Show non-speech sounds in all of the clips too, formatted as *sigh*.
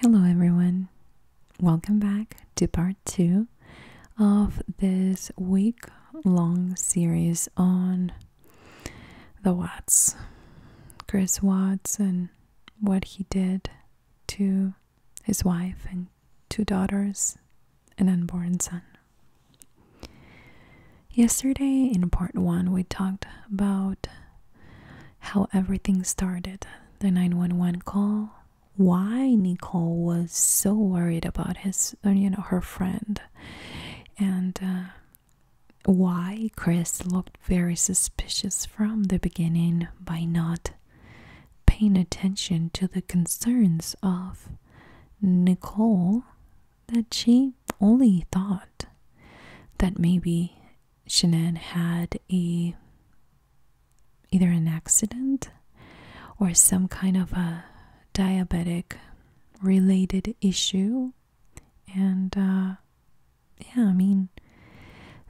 Hello, everyone. Welcome back to part two of this week long series on the Watts, Chris Watts, and what he did to his wife and two daughters, an unborn son. Yesterday, in part one, we talked about how everything started the 911 call, why Nicole was so worried about his, uh, you know, her friend, and uh, why Chris looked very suspicious from the beginning by not paying attention to the concerns of Nicole that she only thought that maybe Shanann had a either an accident or some kind of a diabetic related issue and uh, yeah i mean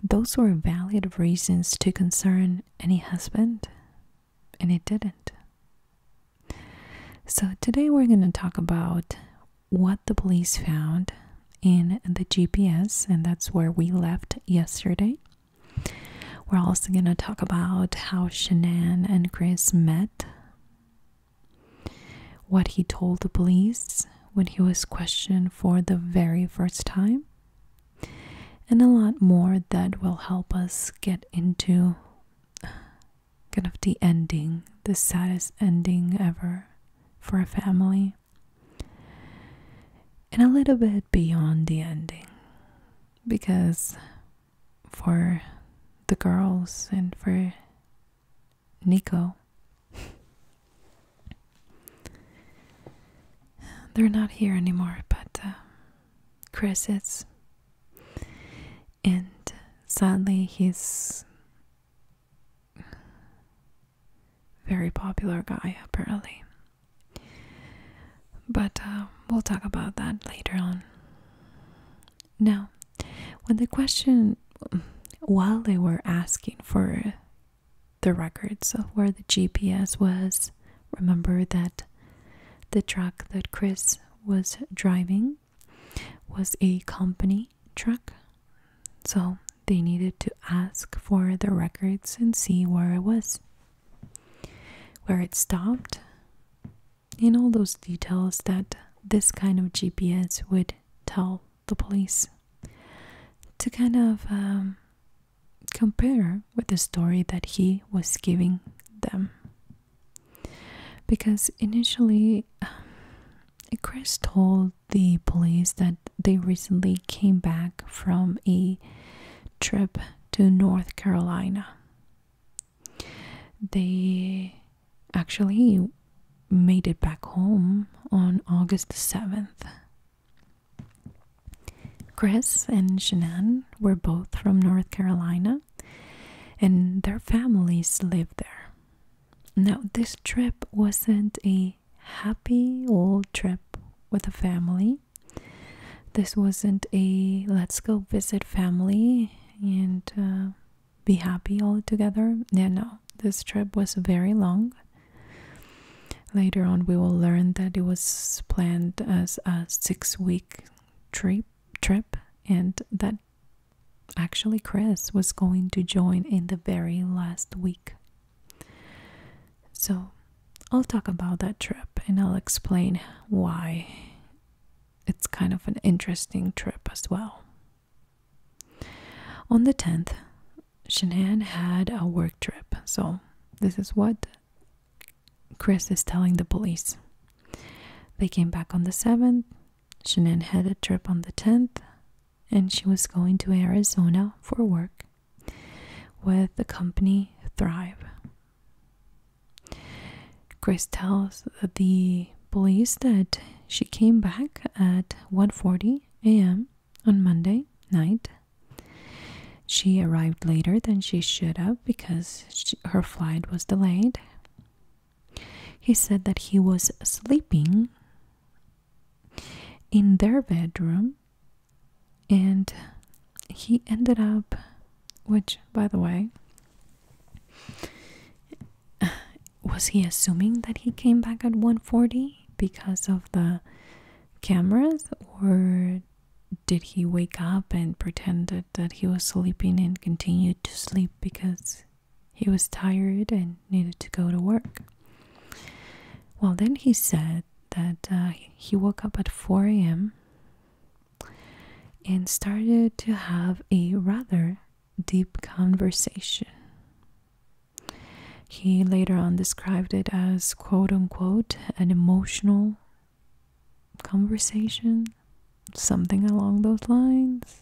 those were valid reasons to concern any husband and it didn't so today we're going to talk about what the police found in the GPS, and that's where we left yesterday. We're also going to talk about how Shanann and Chris met, what he told the police when he was questioned for the very first time, and a lot more that will help us get into kind of the ending, the saddest ending ever for a family. And a little bit beyond the ending, because for the girls and for Nico, they're not here anymore, but uh, Chris is. And sadly, he's very popular guy, apparently. But uh, we'll talk about that later on. Now, when the question, while they were asking for the records of where the GPS was, remember that the truck that Chris was driving was a company truck. So they needed to ask for the records and see where it was, where it stopped, in all those details that this kind of GPS would tell the police to kind of um, compare with the story that he was giving them. Because initially, Chris told the police that they recently came back from a trip to North Carolina. They actually made it back home on August 7th. Chris and Shannon were both from North Carolina and their families lived there. Now, this trip wasn't a happy old trip with a family. This wasn't a let's go visit family and uh, be happy all together. Yeah, no, this trip was very long. Later on, we will learn that it was planned as a six week trip, trip and that Actually, Chris was going to join in the very last week. So, I'll talk about that trip and I'll explain why it's kind of an interesting trip as well. On the 10th, Shanann had a work trip. So, this is what Chris is telling the police. They came back on the 7th. Shanann had a trip on the 10th, and she was going to Arizona for work with the company Thrive. Chris tells the police that she came back at one forty a.m. on Monday night. She arrived later than she should have because her flight was delayed. He said that he was sleeping in their bedroom and he ended up, which, by the way, *sighs* was he assuming that he came back at 140 because of the cameras or did he wake up and pretended that he was sleeping and continued to sleep because he was tired and needed to go to work. Well, then he said that uh, he woke up at 4 a.m. and started to have a rather deep conversation. He later on described it as quote unquote an emotional conversation, something along those lines.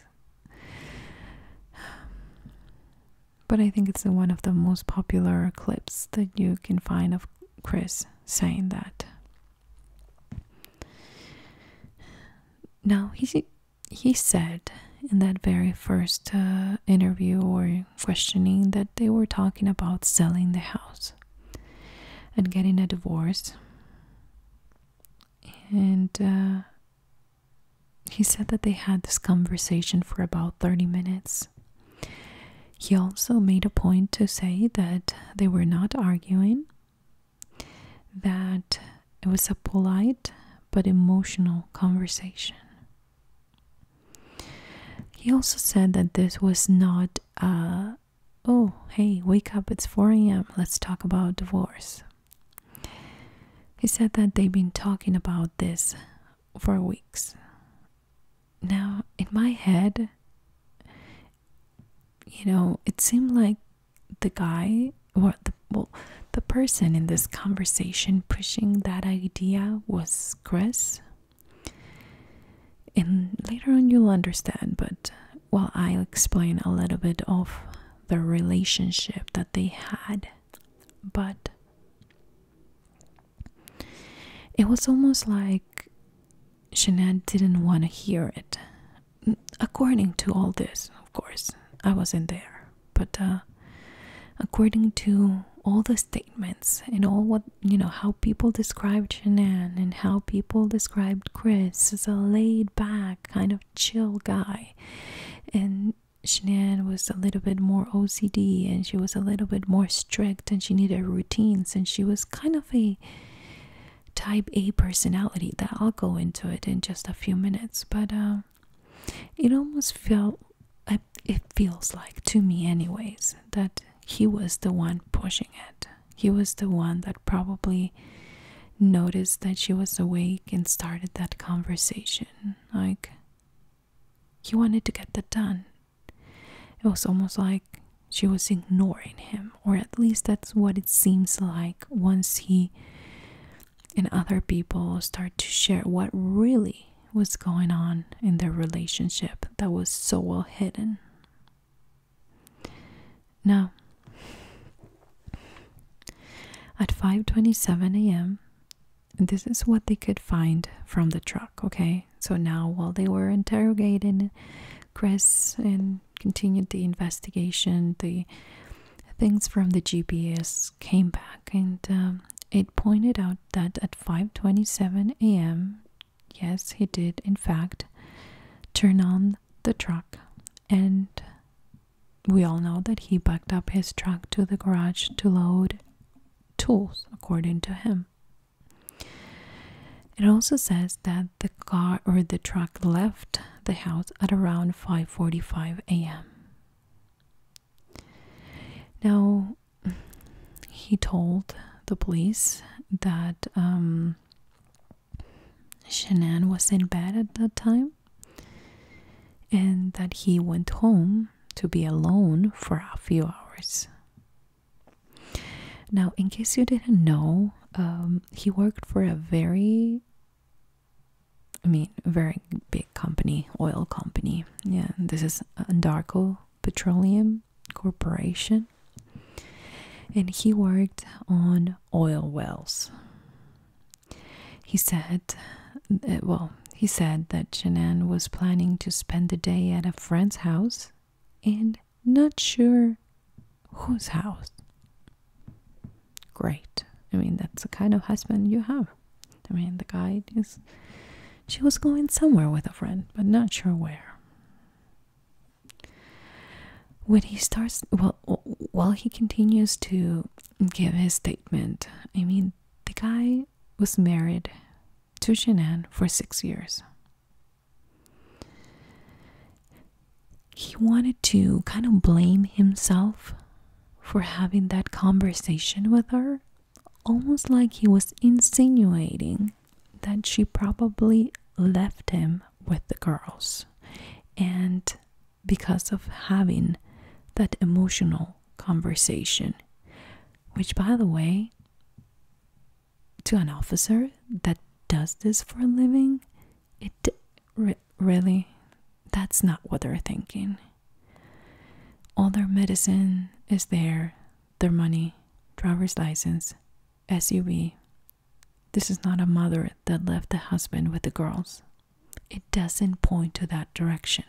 But I think it's one of the most popular clips that you can find of Chris saying that. Now, he, he said in that very first uh, interview or questioning that they were talking about selling the house and getting a divorce. And uh, he said that they had this conversation for about 30 minutes. He also made a point to say that they were not arguing, that it was a polite but emotional conversation. He also said that this was not a, oh, hey, wake up, it's 4 a.m., let's talk about divorce. He said that they've been talking about this for weeks. Now, in my head, you know, it seemed like the guy or the the person in this conversation pushing that idea was Chris. And later on, you'll understand, but well, I'll explain a little bit of the relationship that they had. But it was almost like Jeanette didn't want to hear it. According to all this, of course, I wasn't there, but uh, according to all the statements and all what you know, how people described Shanann and how people described Chris as a laid back kind of chill guy, and Shanann was a little bit more OCD and she was a little bit more strict and she needed routines and she was kind of a type A personality that I'll go into it in just a few minutes but uh, it almost felt it feels like to me anyways that he was the one pushing it he was the one that probably noticed that she was awake and started that conversation. Like, he wanted to get that done. It was almost like she was ignoring him, or at least that's what it seems like once he and other people start to share what really was going on in their relationship that was so well hidden. Now, at 5:27 a.m., this is what they could find from the truck, okay? So now while they were interrogating Chris and continued the investigation, the things from the GPS came back and um, it pointed out that at 5:27 a.m., yes, he did in fact turn on the truck and we all know that he backed up his truck to the garage to load tools, according to him. It also says that the car or the truck left the house at around 5:45 a.m. Now, he told the police that um, was in bed at that time and that he went home to be alone for a few hours. Now, in case you didn't know, um, he worked for a very, I mean, very big company, oil company. Yeah, this is Andarco Petroleum Corporation. And he worked on oil wells. He said, eh, well, he said that Shannon was planning to spend the day at a friend's house and not sure whose house. Great. I mean, that's the kind of husband you have. I mean, the guy is. She was going somewhere with a friend, but not sure where. When he starts, well, while he continues to give his statement. I mean, the guy was married to Jeananne for six years. He wanted to kind of blame himself for having that conversation with her, almost like he was insinuating that she probably left him with the girls and because of having that emotional conversation. Which, by the way, to an officer that does this for a living, it really, that's not what they're thinking. All their medicine is there, their money, driver's license, SUV. This is not a mother that left the husband with the girls. It doesn't point to that direction.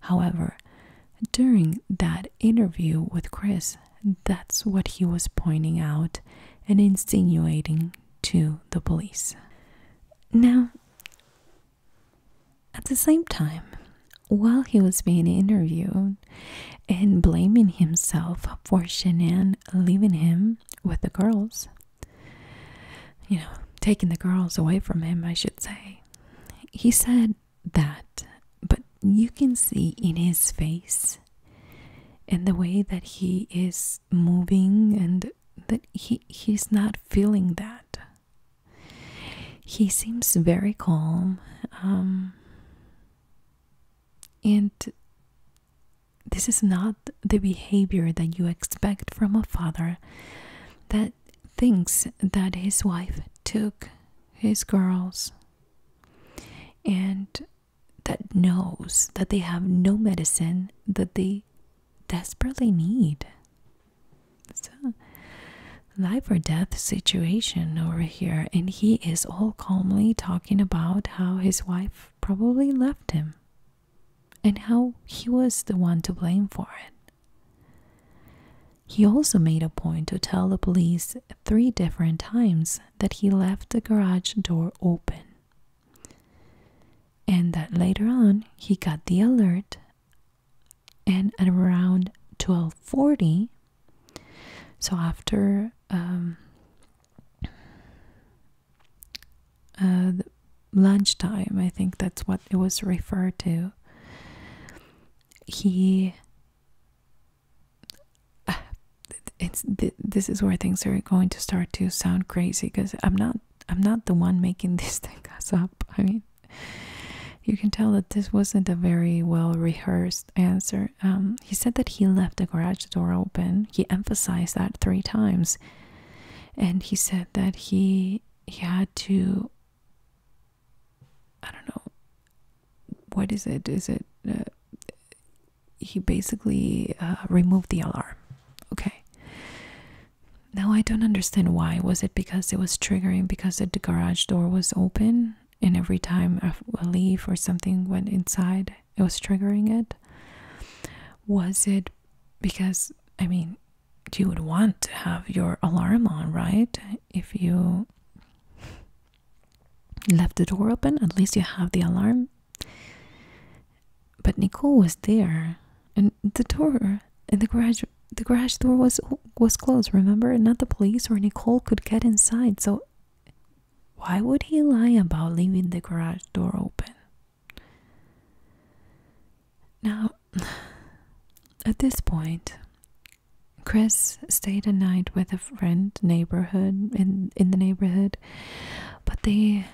However, during that interview with Chris, that's what he was pointing out and insinuating to the police. Now, at the same time, while he was being interviewed and blaming himself for Shanann leaving him with the girls, you know, taking the girls away from him, I should say. He said that, but you can see in his face and the way that he is moving and that he he's not feeling that. He seems very calm. Um, and this is not the behavior that you expect from a father that thinks that his wife took his girls and that knows that they have no medicine that they desperately need. So, life or death situation over here, and he is all calmly talking about how his wife probably left him and how he was the one to blame for it. He also made a point to tell the police three different times that he left the garage door open, and that later on he got the alert and at around 12:40 so after um, uh, lunchtime. I think that's what it was referred to. He. *sighs* it's this is where things are going to start to sound crazy because I'm not I'm not the one making *laughs* this thing up. I mean, you can tell that this wasn't a very well rehearsed answer. Um, he said that he left the garage door open. He emphasized that three times and he said that he he had to i don't know what is it is it uh, he basically uh, removed the alarm okay now i don't understand why was it because it was triggering because the garage door was open and every time a leaf or something went inside it was triggering it was it because i mean you would want to have your alarm on, right? If you left the door open, at least you have the alarm. But Nicole was there, and the door and the garage the garage door was was closed. Remember, not the police or Nicole could get inside. So why would he lie about leaving the garage door open? Now, at this point, Chris stayed a night with a friend neighborhood in in the neighborhood, but they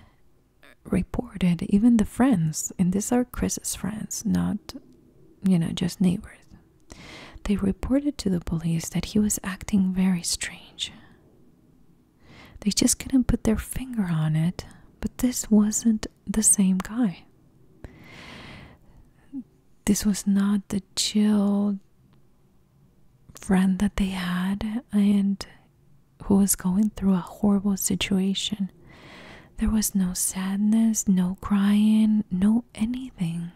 reported even the friends, and these are Chris's friends, not you know just neighbors. They reported to the police that he was acting very strange. They just couldn't put their finger on it, but this wasn't the same guy. This was not the chill friend that they had and who was going through a horrible situation. There was no sadness, no crying, no anything.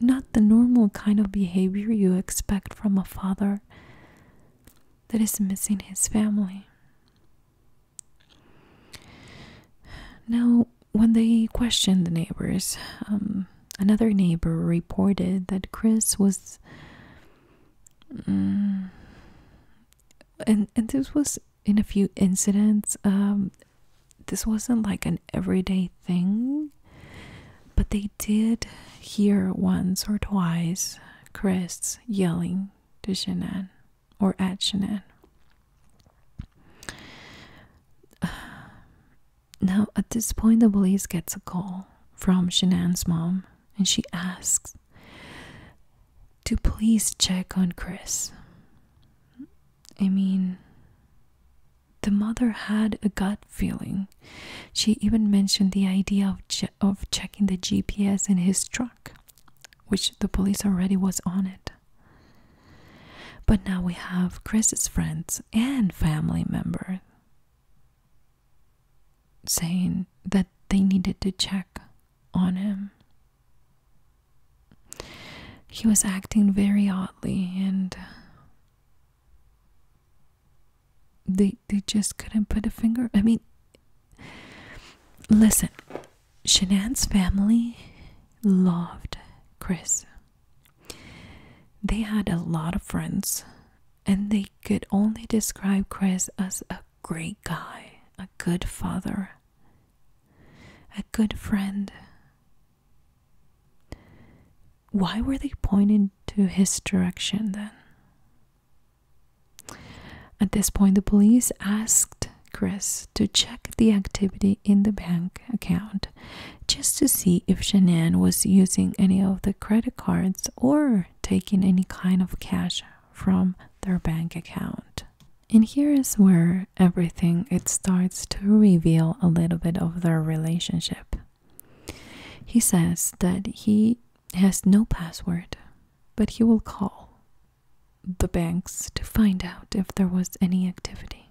Not the normal kind of behavior you expect from a father that is missing his family. Now, when they questioned the neighbors, um, another neighbor reported that Chris was. Mm, and, and this was in a few incidents. Um, this wasn't like an everyday thing, but they did hear once or twice Chris yelling to Shannon or at Shannon. Now, at this point, the police gets a call from Shanann's mom and she asks to please check on Chris. I mean, the mother had a gut feeling. She even mentioned the idea of, of checking the GPS in his truck which the police already was on it. But now we have Chris's friends and family members saying that they needed to check on him. He was acting very oddly and they they just couldn't put a finger I mean Listen, Shanann's family loved Chris. They had a lot of friends, and they could only describe Chris as a great guy, a good father, a good friend. Why were they pointed to his direction then? At this point, the police asked Chris to check the activity in the bank account just to see if Shanann was using any of the credit cards or taking any kind of cash from their bank account. And here is where everything it starts to reveal a little bit of their relationship. He says that he has no password, but he will call the banks to find out if there was any activity.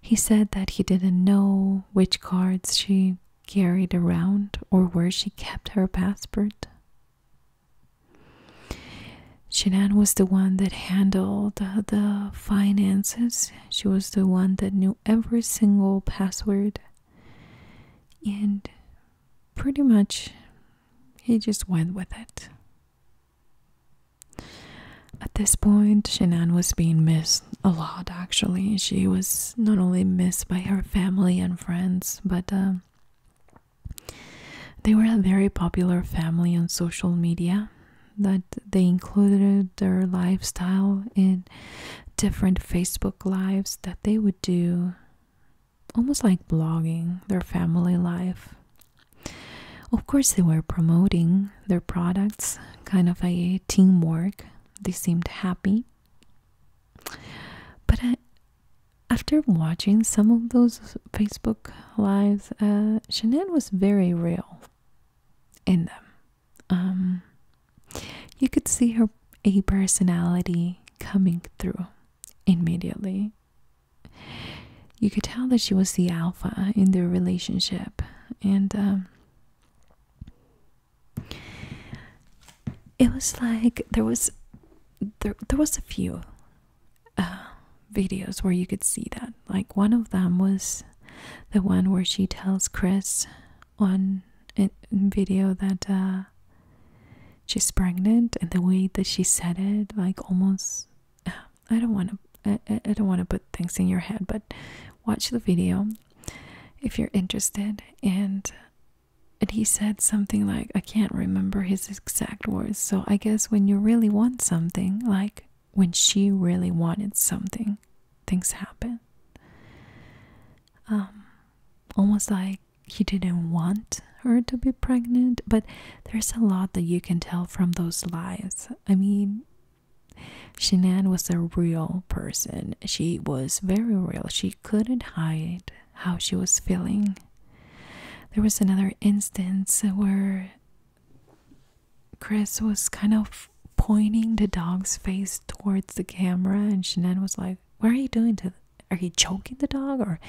He said that he didn't know which cards she carried around or where she kept her passport. Shanann was the one that handled the finances. She was the one that knew every single password. And pretty much he just went with it. At this point, Shanann was being missed a lot actually. She was not only missed by her family and friends, but uh, they were a very popular family on social media that they included their lifestyle in different Facebook lives that they would do almost like blogging their family life. Of course, they were promoting their products, kind of a teamwork. They seemed happy. But uh, after watching some of those Facebook lives, uh, Shannon was very real in them. Um, you could see her a personality coming through immediately. You could tell that she was the alpha in their relationship, and um, it was like there was there there was a few uh, videos where you could see that. Like one of them was the one where she tells Chris on video that uh, she's pregnant and the way that she said it, like almost. *sighs* I don't want to. I don't want to put things in your head, but watch the video if you're interested. And and he said something like, I can't remember his exact words. So I guess when you really want something, like when she really wanted something, things happen. Um, almost like he didn't want her to be pregnant, but there's a lot that you can tell from those lies. I mean, Shanann was a real person. She was very real. She couldn't hide how she was feeling. There was another instance where Chris was kind of pointing the dog's face towards the camera, and Shanann was like, What are you doing to are you choking the dog or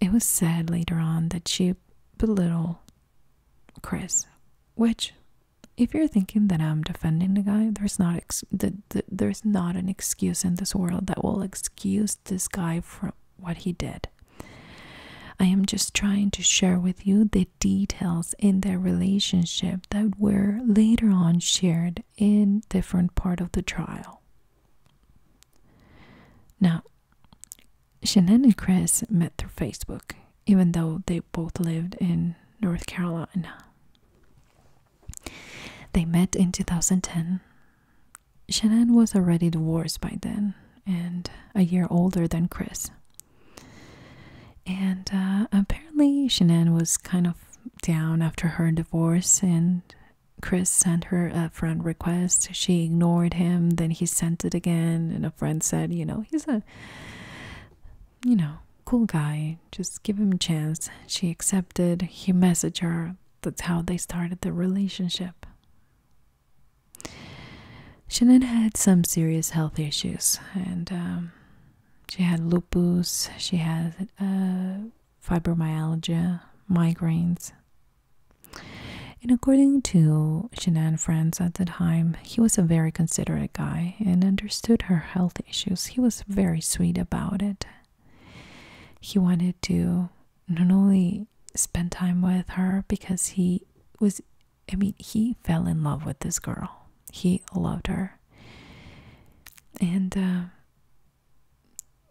it was said later on that you belittle Chris, which if you're thinking that I'm defending the guy, there's not ex the, the, there's not an excuse in this world that will excuse this guy for what he did. I am just trying to share with you the details in their relationship that were later on shared in different part of the trial. Now, Shannon and Chris met through Facebook, even though they both lived in North Carolina. They met in 2010. Shannon was already divorced by then and a year older than Chris. And uh, apparently, Shannon was kind of down after her divorce and Chris sent her a friend request. She ignored him, then he sent it again and a friend said, you know, he's a you know, cool guy. Just give him a chance. She accepted. He messaged her. That's how they started the relationship. Shannon had some serious health issues and um, she had lupus, she had uh, fibromyalgia, migraines. And according to Shanann friends at the time, he was a very considerate guy and understood her health issues. He was very sweet about it. He wanted to not only spend time with her because he was, I mean, he fell in love with this girl. He loved her. And uh,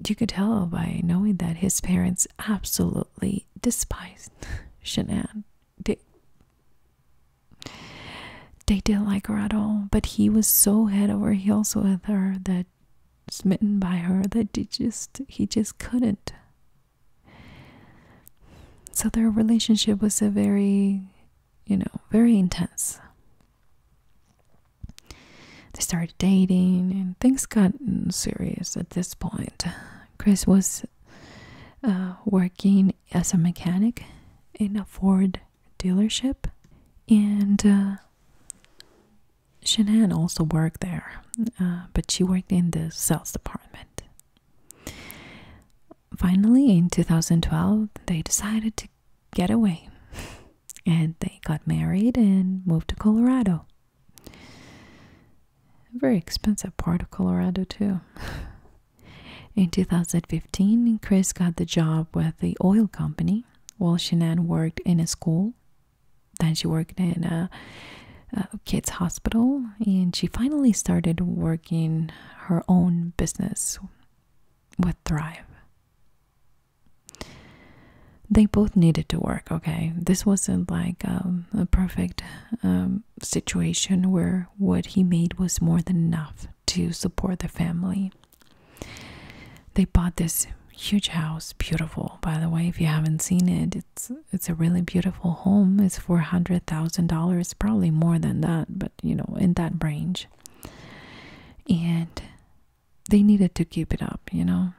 you could tell by knowing that his parents absolutely despised *laughs* Shanann. They, they didn't like her at all, but he was so head over heels with her that smitten by her that he just he just couldn't. So their relationship was a very you know, very intense. They started dating, and things got serious at this point. Chris was uh, working as a mechanic in a Ford dealership, and uh, also worked there, uh, but she worked in the sales department. Finally, in 2012, they decided to get away. And they got married and moved to Colorado. A very expensive part of Colorado, too. In 2015, Chris got the job with the oil company while Shanann worked in a school. Then she worked in a kids' hospital and she finally started working her own business would thrive. They both needed to work, okay? This wasn't like um, a perfect um, situation where what he made was more than enough to support the family. They bought this huge house, beautiful. By the way, if you haven't seen it, it's it's a really beautiful home. It's four hundred thousand dollars, probably more than that, but you know, in that range and they needed to keep it up you know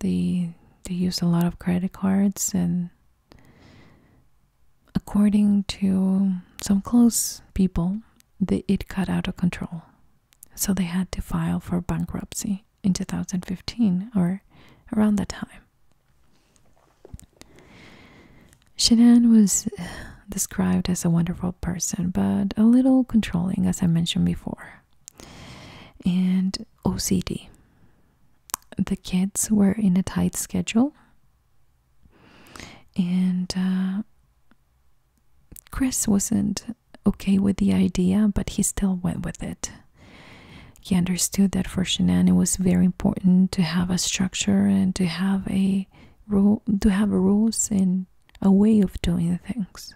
they they used a lot of credit cards and according to some close people the, it got out of control so they had to file for bankruptcy in 2015 or around that time Shenan was described as a wonderful person, but a little controlling, as I mentioned before. And OCD. The kids were in a tight schedule, and uh, Chris wasn't okay with the idea, but he still went with it. He understood that for Shanann it was very important to have a structure and to have a rule, to have rules and a way of doing things.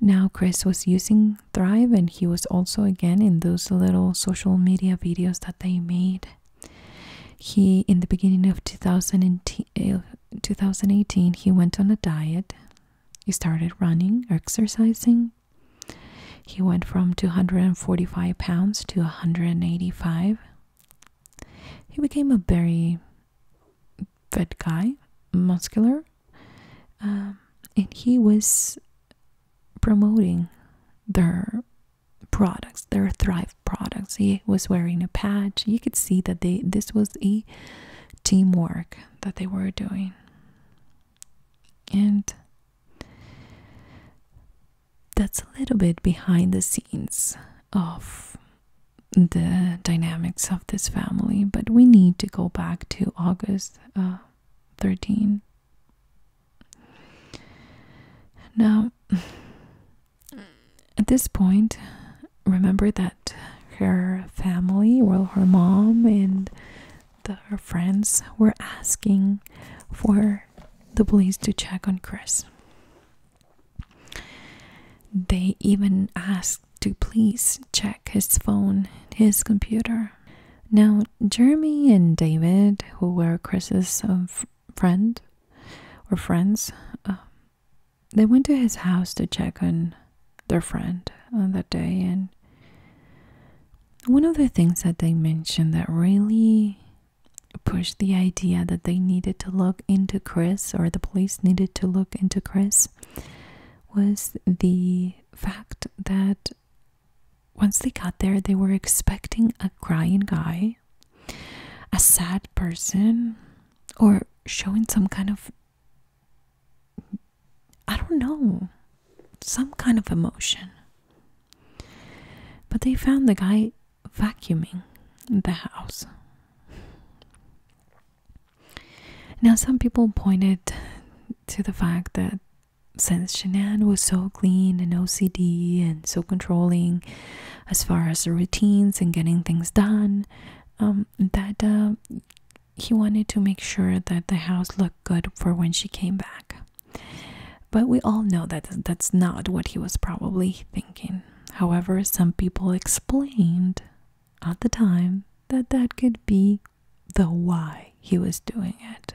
Now, Chris was using Thrive, and he was also again in those little social media videos that they made. He, in the beginning of 2018, uh, he went on a diet. He started running, exercising. He went from 245 pounds to 185. He became a very fat guy, muscular, um, and he was promoting their products, their Thrive products. He was wearing a patch. You could see that they this was a teamwork that they were doing. And that's a little bit behind the scenes of the dynamics of this family, but we need to go back to August uh, 13. Now, *sighs* at this point, remember that her family, well, her mom and the, her friends were asking for the police to check on Chris. They even asked to please check his phone, his computer. Now, Jeremy and David, who were Chris's uh, friend or friends, uh, they went to his house to check on their friend on that day. And one of the things that they mentioned that really pushed the idea that they needed to look into Chris or the police needed to look into Chris was the fact that once they got there, they were expecting a crying guy, a sad person, or showing some kind of I don't know, some kind of emotion. But they found the guy vacuuming the house. Now, some people pointed to the fact that since Shanann was so clean and OCD and so controlling as far as routines and getting things done, um, that uh, he wanted to make sure that the house looked good for when she came back. But we all know that that's not what he was probably thinking. However, some people explained at the time that that could be the why he was doing it.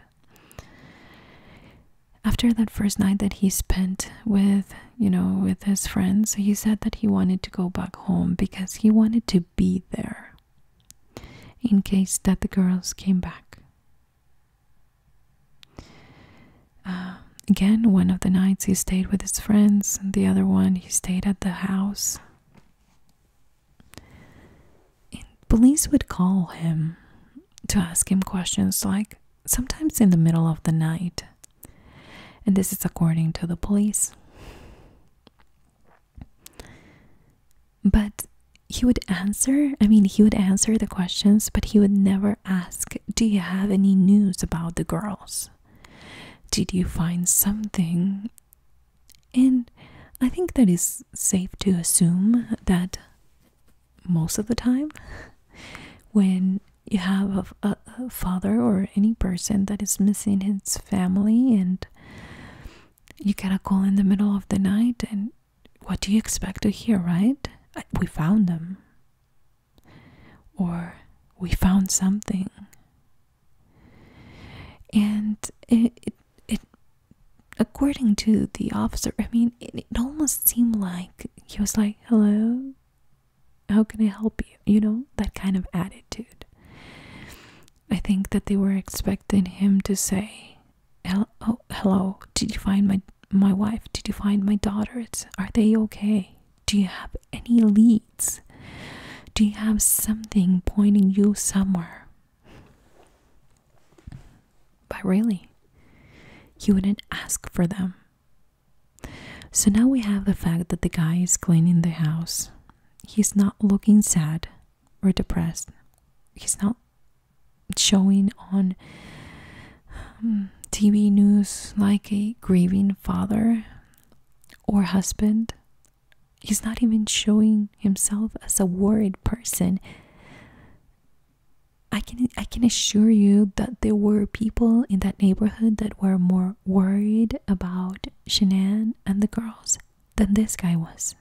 After that first night that he spent with, you know, with his friends, he said that he wanted to go back home because he wanted to be there in case that the girls came back. Um, again, one of the nights he stayed with his friends, the other one he stayed at the house. police would call him to ask him questions, like sometimes in the middle of the night. And this is according to the police. But he would answer, I mean, he would answer the questions, but he would never ask, Do you have any news about the girl? Did you find something? And I think that is safe to assume that most of the time, *laughs* when you have a father or any person that is missing his family, and you get a call in the middle of the night, and what do you expect to hear, right? We found them or we found something and it, it, according to the officer i mean it, almost seemed like he was like hello how can i help you you know that kind of attitude i think that they were expecting him to say oh, hello, did you find my my wife did you find my daughters are they okay do you have any leads? Do you have something pointing you somewhere? But really, you wouldn't ask for them. So now we have the fact that the guy is cleaning the house. He's not looking sad or depressed. He's not showing on TV news like a grieving father or husband. He's not even showing himself as a worried person. I can I can assure you that there were people in that neighborhood that were more worried about Shanann and the girls than this guy was.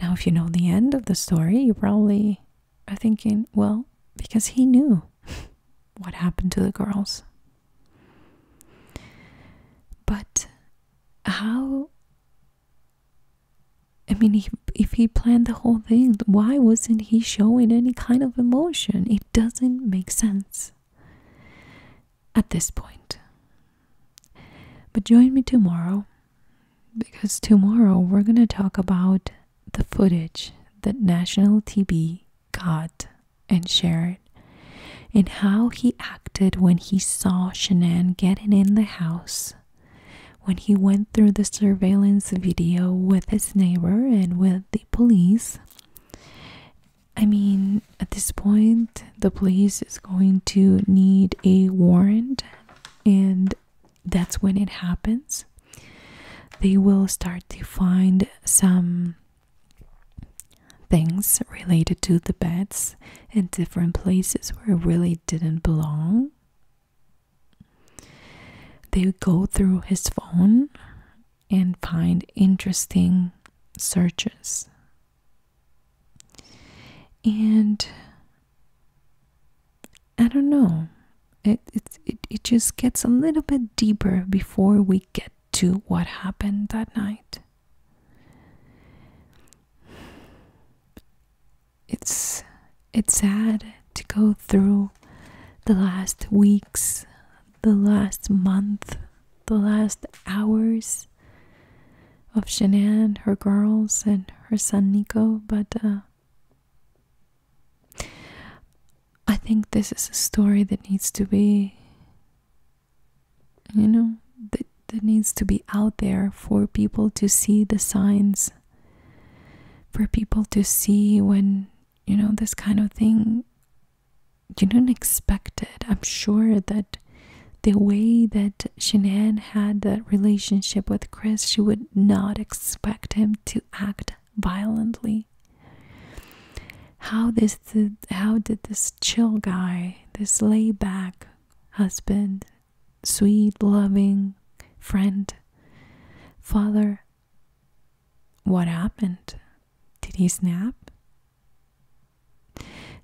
Now, if you know the end of the story, you probably are uh, thinking, well, because he knew. *laughs* what happened to the girls. But how? I mean, if, if he planned the whole thing, why wasn't he showing any kind of emotion? It doesn't make sense at this point. But join me tomorrow because tomorrow we're going to talk about the footage that National TV God and share it. And how he acted when he saw Shanann getting in the house, when he went through the surveillance video with his neighbor and with the police. I mean, at this point, the police is going to need a warrant, and that's when it happens they will start to find some things related to the beds in different places where it really didn't belong they would go through his phone and find interesting searches and i don't know it, it, it, just gets a little bit deeper before we get to what happened that night. It's it's sad to go through the last weeks, the last month, the last hours of Shanann, her girls, and her son Nico, but uh, I think this is a story that needs to be, you know, that, that needs to be out there for people to see the signs, for people to see when, you know, this kind of thing, you do not expect it. I'm sure that the way that Shanann had that relationship with Chris, she would not expect him to act violently. How this how did this chill guy, this layback husband, sweet loving friend, father what happened? Did he snap?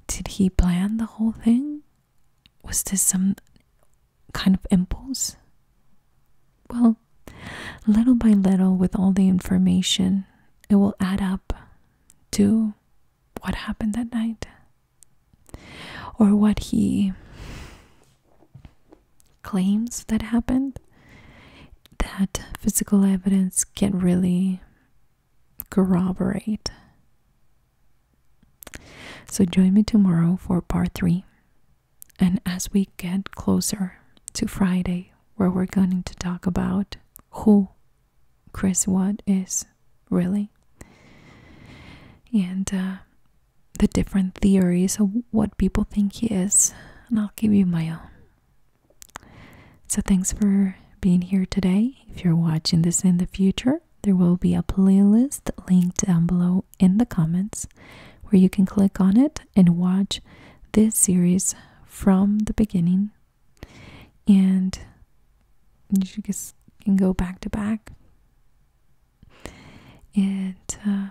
Did he plan the whole thing? Was this some kind of impulse? Well, little by little, with all the information, it will add up to what happened that night or what he claims that happened. That physical evidence can really corroborate. So, join me tomorrow for part three and as we get closer to Friday, where we're going to talk about who Chris Watt is really and uh, the different theories of what people think he is, and I'll give you my own. So, thanks for being here today. If you're watching this in the future, there will be a playlist linked down below in the comments where you can click on it and watch this series from the beginning and you just can go back to back and uh,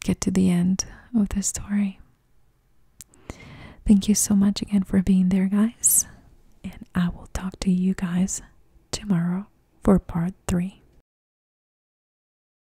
get to the end of the story. Thank you so much again for being there, guys. And I will talk to you guys tomorrow for part three.